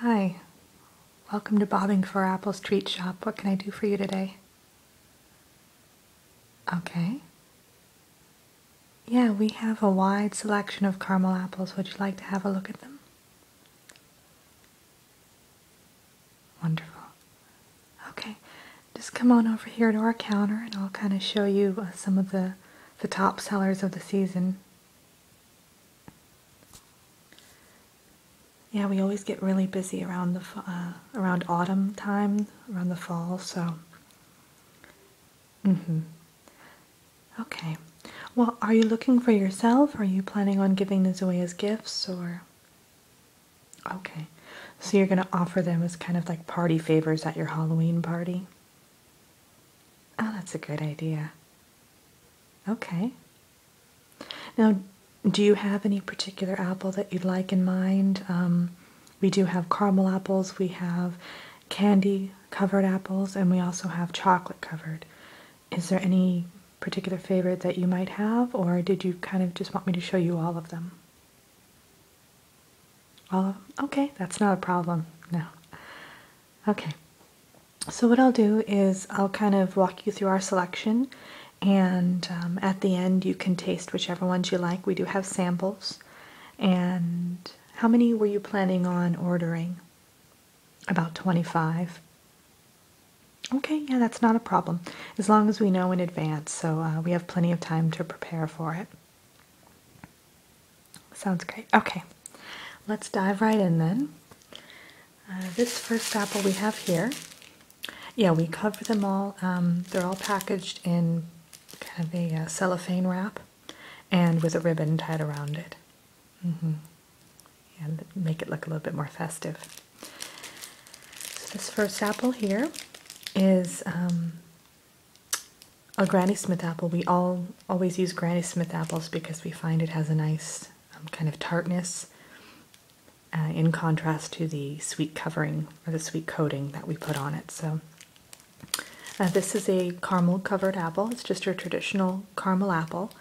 Hi, welcome to Bobbing for Apples Treat Shop. What can I do for you today? Okay. Yeah, we have a wide selection of caramel apples. Would you like to have a look at them? Wonderful. Okay, just come on over here to our counter and I'll kind of show you uh, some of the, the top sellers of the season. Yeah, we always get really busy around the uh, around autumn time, around the fall, so. Mm-hmm. Okay. Well, are you looking for yourself? Are you planning on giving this away as gifts or Okay, so you're going to offer them as kind of like party favors at your Halloween party? Oh, that's a good idea. Okay. Now, do you have any particular apple that you'd like in mind? Um, we do have caramel apples, we have candy covered apples, and we also have chocolate covered. Is there any particular favorite that you might have, or did you kind of just want me to show you all of them? All uh, okay, that's not a problem. No. Okay. So what I'll do is I'll kind of walk you through our selection, and um, at the end you can taste whichever ones you like. We do have samples. And how many were you planning on ordering? About 25. Okay, yeah, that's not a problem as long as we know in advance, so uh, we have plenty of time to prepare for it. Sounds great. Okay, let's dive right in then. Uh, this first apple we have here, yeah, we cover them all. Um, they're all packaged in kind of a uh, cellophane wrap and with a ribbon tied around it. Mm-hmm. And make it look a little bit more festive this first apple here is um, a Granny Smith apple. We all always use Granny Smith apples because we find it has a nice um, kind of tartness uh, in contrast to the sweet covering or the sweet coating that we put on it. So uh, this is a caramel covered apple. It's just a traditional caramel apple.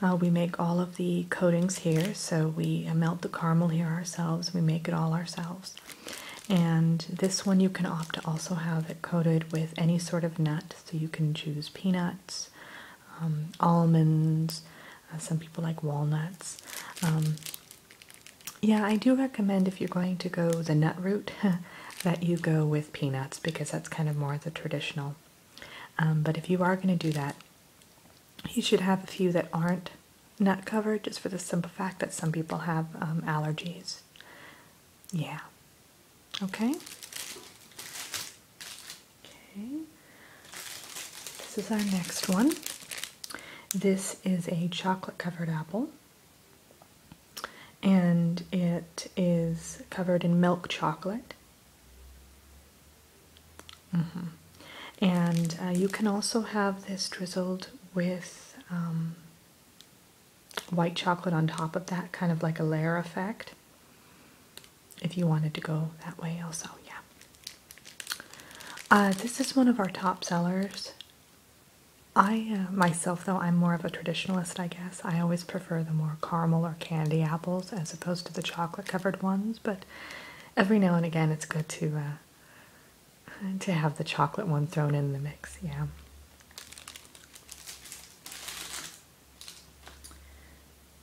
Uh, we make all of the coatings here, so we melt the caramel here ourselves. We make it all ourselves. And this one you can opt to also have it coated with any sort of nut, so you can choose peanuts, um, almonds, uh, some people like walnuts. Um, yeah, I do recommend if you're going to go the nut route that you go with peanuts because that's kind of more the traditional. Um, but if you are going to do that, you should have a few that aren't not covered just for the simple fact that some people have um, allergies. Yeah. Okay. Okay. This is our next one. This is a chocolate covered apple. And it is covered in milk chocolate. Mm-hmm. And uh, you can also have this drizzled with um, white chocolate on top of that, kind of like a layer effect. If you wanted to go that way, also, yeah. Uh, this is one of our top sellers. I uh, myself, though, I'm more of a traditionalist, I guess. I always prefer the more caramel or candy apples as opposed to the chocolate covered ones, but every now and again it's good to to have the chocolate one thrown in the mix, yeah.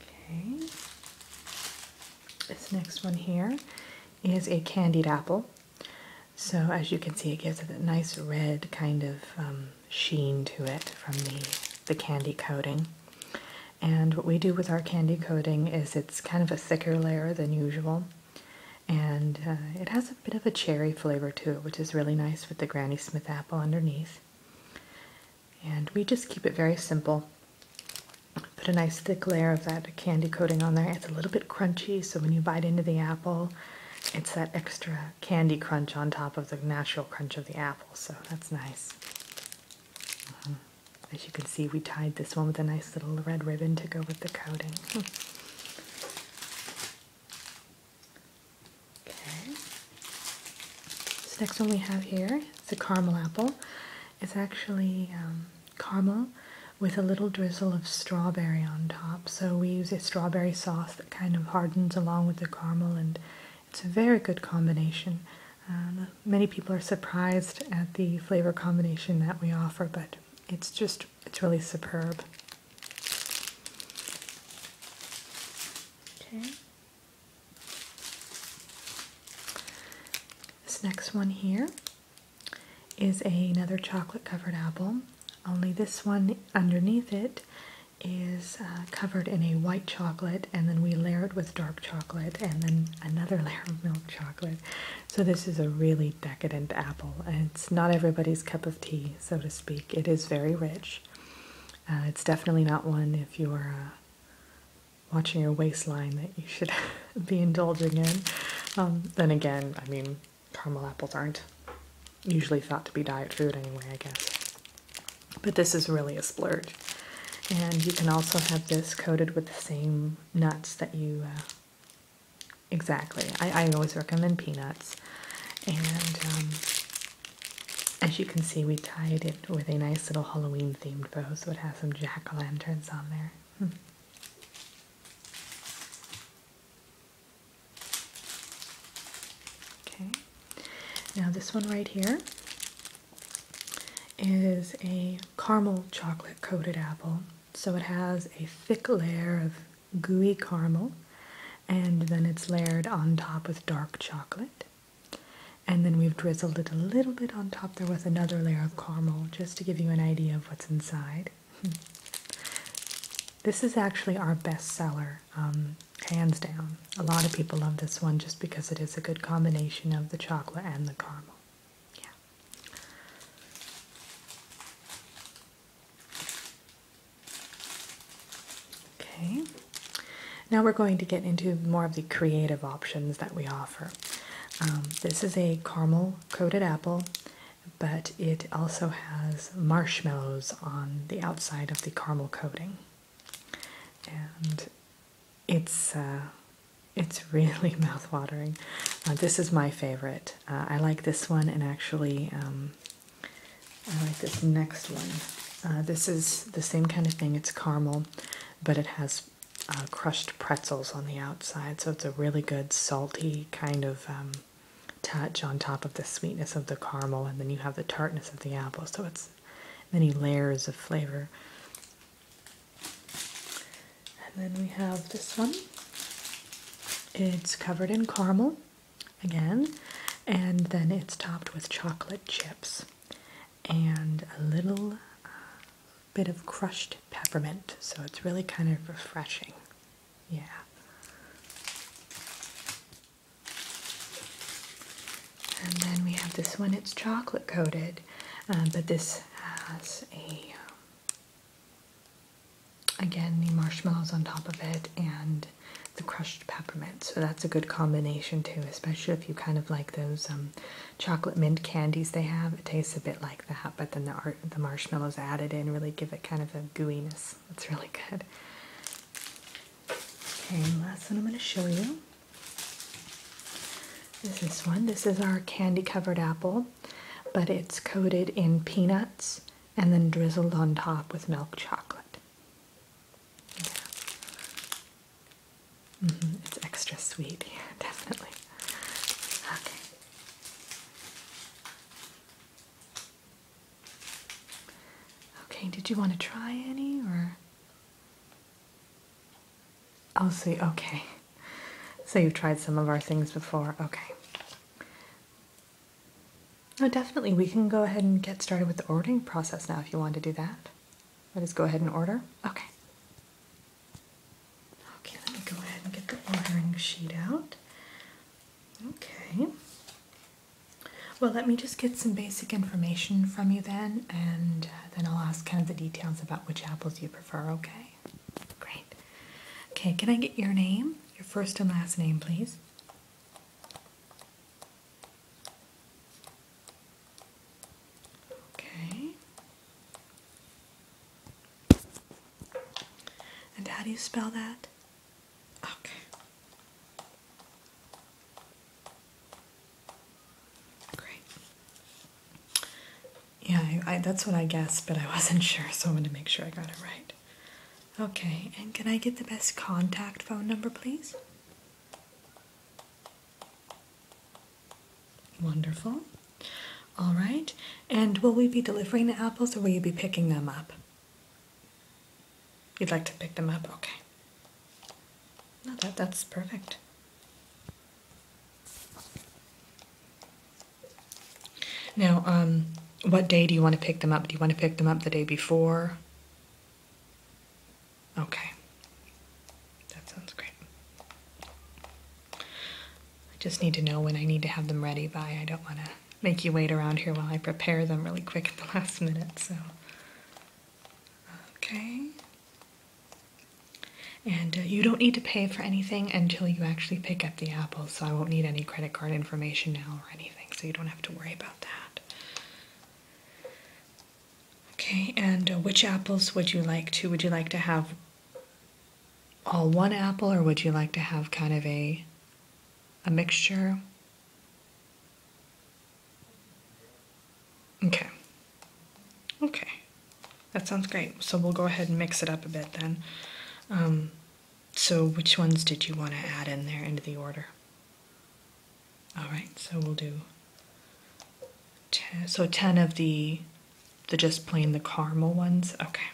Okay. This next one here is a candied apple. So as you can see, it gives it a nice red kind of um, sheen to it from the, the candy coating. And what we do with our candy coating is it's kind of a thicker layer than usual. And uh, it has a bit of a cherry flavor to it, which is really nice with the Granny Smith apple underneath. And we just keep it very simple. Put a nice thick layer of that candy coating on there. It's a little bit crunchy, so when you bite into the apple, it's that extra candy crunch on top of the natural crunch of the apple, so that's nice. Uh-huh. As you can see, we tied this one with a nice little red ribbon to go with the coating. Okay. This next one we have here is a caramel apple. It's actually um, caramel with a little drizzle of strawberry on top. So we use a strawberry sauce that kind of hardens along with the caramel and it's a very good combination. Um, many people are surprised at the flavor combination that we offer, but it's just, it's really superb. Okay. This next one here is another chocolate covered apple, only this one underneath it is uh, covered in a white chocolate, and then we layer it with dark chocolate and then another layer of milk chocolate. So this is a really decadent apple. It's not everybody's cup of tea, so to speak. It is very rich. Uh, it's definitely not one if you are uh, watching your waistline that you should be indulging in. Um, then again, I mean, caramel apples aren't usually thought to be diet food anyway, I guess. But this is really a splurge. And you can also have this coated with the same nuts that you uh, exactly. I, I always recommend peanuts, and um, as you can see, we tied it with a nice little Halloween themed bow, so it has some jack o' lanterns on there. Hmm. Okay, now this one right here is a caramel chocolate coated apple. So it has a thick layer of gooey caramel, and then it's layered on top with dark chocolate. And then we've drizzled it a little bit on top there with another layer of caramel just to give you an idea of what's inside. this is actually our best seller, um, hands down. A lot of people love this one just because it is a good combination of the chocolate and the caramel. Yeah. Okay. Now we're going to get into more of the creative options that we offer. Um, this is a caramel coated apple, but it also has marshmallows on the outside of the caramel coating. And it's uh, it's really mouthwatering. Uh, this is my favorite. Uh, I like this one, and actually, um, I like this next one. this is the same kind of thing. It's caramel, but it has crushed pretzels on the outside, so it's a really good salty kind of um, touch on top of the sweetness of the caramel, and then you have the tartness of the apple. So it's many layers of flavor. And then we have this one. It's covered in caramel again, and then it's topped with chocolate chips and a little uh, bit of crushed peppermint. So it's really kind of refreshing. Yeah. And then we have this one, it's chocolate coated, uh, but this has a, um, again, the marshmallows on top of it and the crushed peppermint. So that's a good combination too, especially if you kind of like those um, chocolate mint candies they have. It tastes a bit like that, but then the, art, the marshmallows added in really give it kind of a gooiness. That's really good. Okay, last one I'm going to show you this is one. This is our candy covered apple, but it's coated in peanuts and then drizzled on top with milk chocolate. Yeah. Mm-hmm. It's extra sweet, definitely. Okay. Okay, did you want to try any or? I'll see. Okay. So you've tried some of our things before. Okay. Oh, definitely. We can go ahead and get started with the ordering process now if you want to do that. Let us go ahead and order. Okay. Okay, let me go ahead and get the ordering sheet out. Okay. Well, let me just get some basic information from you then and uh, then I'll ask kind of the details about which apples you prefer, okay? Great. Okay, can I get your name? Your first and last name, please. Okay. And how do you spell that? Okay. Great. Yeah, that's what I guessed, but I wasn't sure, so I wanted to make sure I got it right. Okay, and can I get the best contact phone number, please? Wonderful. All right, and will we be delivering the apples or will you be picking them up? You'd like to pick them up? Okay that's perfect. Now, um, what day do you want to pick them up? Do you want to pick them up the day before? Okay. That sounds great. I just need to know when I need to have them ready by. I don't want to make you wait around here while I prepare them really quick at the last minute, so. Okay, and uh, you don't need to pay for anything until you actually pick up the apples, so I won't need any credit card information now or anything, so you don't have to worry about that. Okay, and uh, which apples would you like to? Would you like to have all one apple or would you like to have kind of a a mixture? Okay. Okay. That sounds great. So we'll go ahead and mix it up a bit then. Um, so which ones did you want to add in there into the order? All right, so we'll do so 10 of the the just plain the caramel ones. Okay.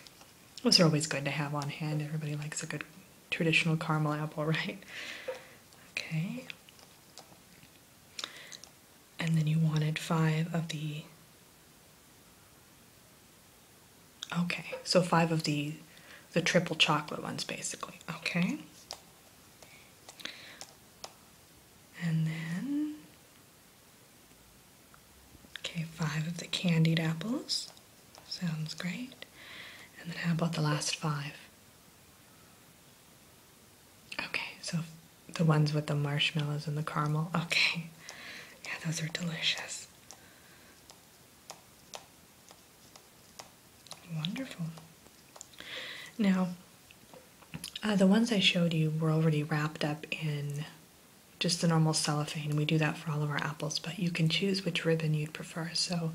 Those are always good to have on hand. Everybody likes a good traditional caramel apple, right? Okay and then you wanted five of the okay so five of the the triple chocolate ones basically okay and then okay five of the candied apples sounds great and then how about the last five Okay, so the ones with the marshmallows and the caramel. Okay, yeah, those are delicious. Wonderful. Now, uh, the ones I showed you were already wrapped up in just the normal cellophane, and we do that for all of our apples, but you can choose which ribbon you'd prefer. So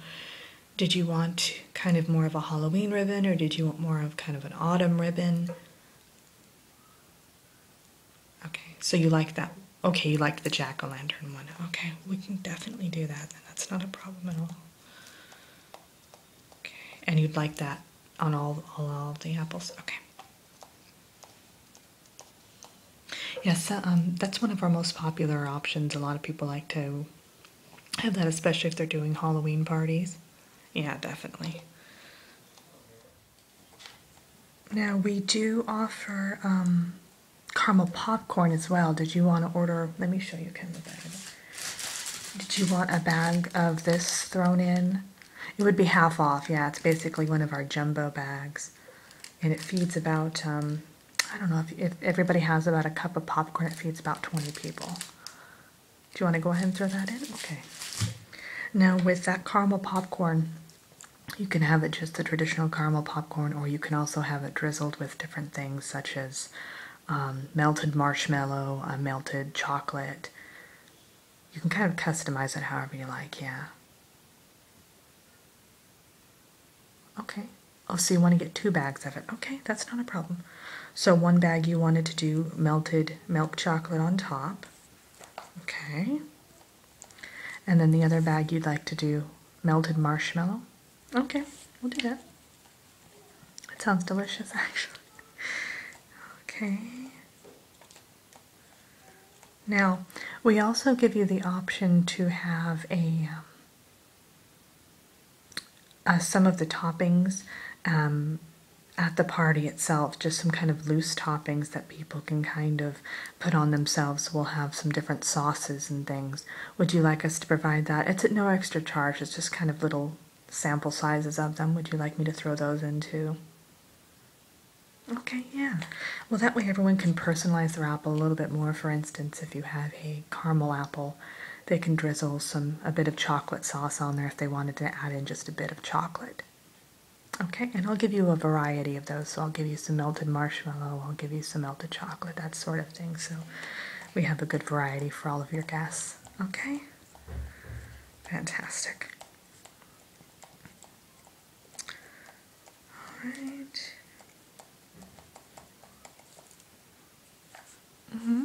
did you want kind of more of a Halloween ribbon or did you want more of kind of an autumn ribbon? Okay, so you like that. Okay, you like the jack-o'-lantern one. Okay, we can definitely do that then. That's not a problem at all. Okay, and you'd like that on all, all, the apples? Okay. Yes, uh, um, that's one of our most popular options. A lot of people like to have that, especially if they're doing Halloween parties. Yeah, definitely. Now, we do offer um, caramel popcorn as well. Did you want to order? Let me show you kind of the bag. Did you want a bag of this thrown in? It would be half off, yeah. It's basically one of our jumbo bags. And it feeds about um, I don't know if, if everybody has about a cup of popcorn, it feeds about 20 people. Do you want to go ahead and throw that in? Okay. Now, with that caramel popcorn, you can have it just the traditional caramel popcorn, or you can also have it drizzled with different things such as um, melted marshmallow, melted chocolate. You can kind of customize it however you like, yeah. Okay. Oh, so you want to get two bags of it. Okay, that's not a problem. So one bag you wanted to do melted milk chocolate on top. Okay. And then the other bag you'd like to do melted marshmallow. Okay, we'll do that. It sounds delicious, actually. Okay. Now, we also give you the option to have a um, uh, some of the toppings um, at the party itself, just some kind of loose toppings that people can kind of put on themselves. We'll have some different sauces and things. Would you like us to provide that? It's at no extra charge, it's just kind of little sample sizes of them. Would you like me to throw those into? Okay, yeah. Well, that way everyone can personalize their app a little bit more. For instance, if you have a caramel apple. They can drizzle some a bit of chocolate sauce on there if they wanted to add in just a bit of chocolate. Okay, and I'll give you a variety of those. So I'll give you some melted marshmallow, I'll give you some melted chocolate, that sort of thing. So we have a good variety for all of your guests. Okay? Fantastic. All right. Mm-hmm.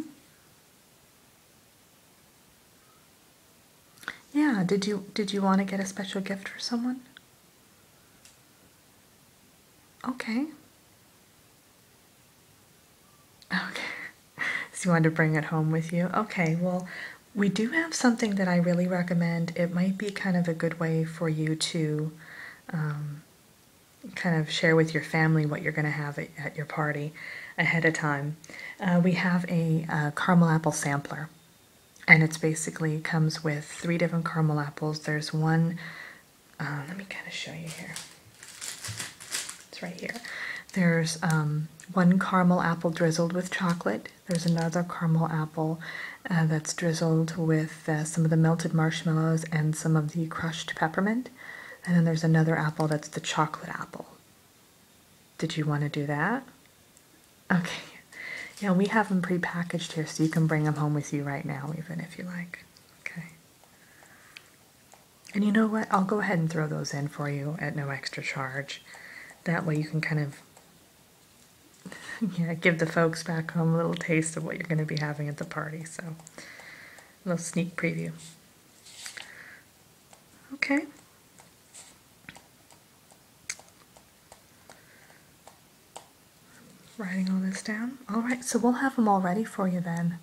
Yeah, did you did you want to get a special gift for someone? Okay. Okay. so you wanted to bring it home with you? Okay, well, we do have something that I really recommend. It might be kind of a good way for you to um, kind of share with your family what you're going to have at, your party ahead of time. Uh, we have a, uh, caramel apple sampler, and it's basically comes with three different caramel apples. There's one, uh, let me kind of show you here. It's right here. There's um, one caramel apple drizzled with chocolate. There's another caramel apple that's drizzled with uh, some of the melted marshmallows and some of the crushed peppermint. And then there's another apple that's the chocolate apple. Did you want to do that? Okay. Yeah, we have them pre-packaged here, so you can bring them home with you right now, even if you like. Okay. And you know what? I'll go ahead and throw those in for you at no extra charge. That way you can kind of yeah, give the folks back home a little taste of what you're going to be having at the party. So, a little sneak preview. Okay. Writing all this down. All right, so we'll have them all ready for you then.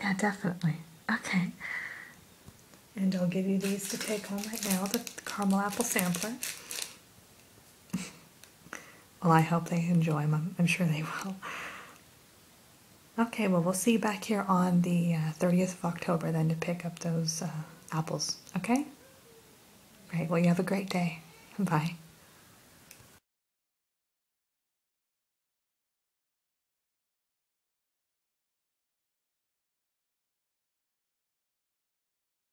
Yeah, definitely. Okay. And I'll give you these to take home right now, the caramel apple sampler well, I hope they enjoy them. I'm, sure they will. Okay, well, we'll see you back here on the 30th uh, of October then to pick up those uh, apples, okay? Right, well, you have a great day. Bye.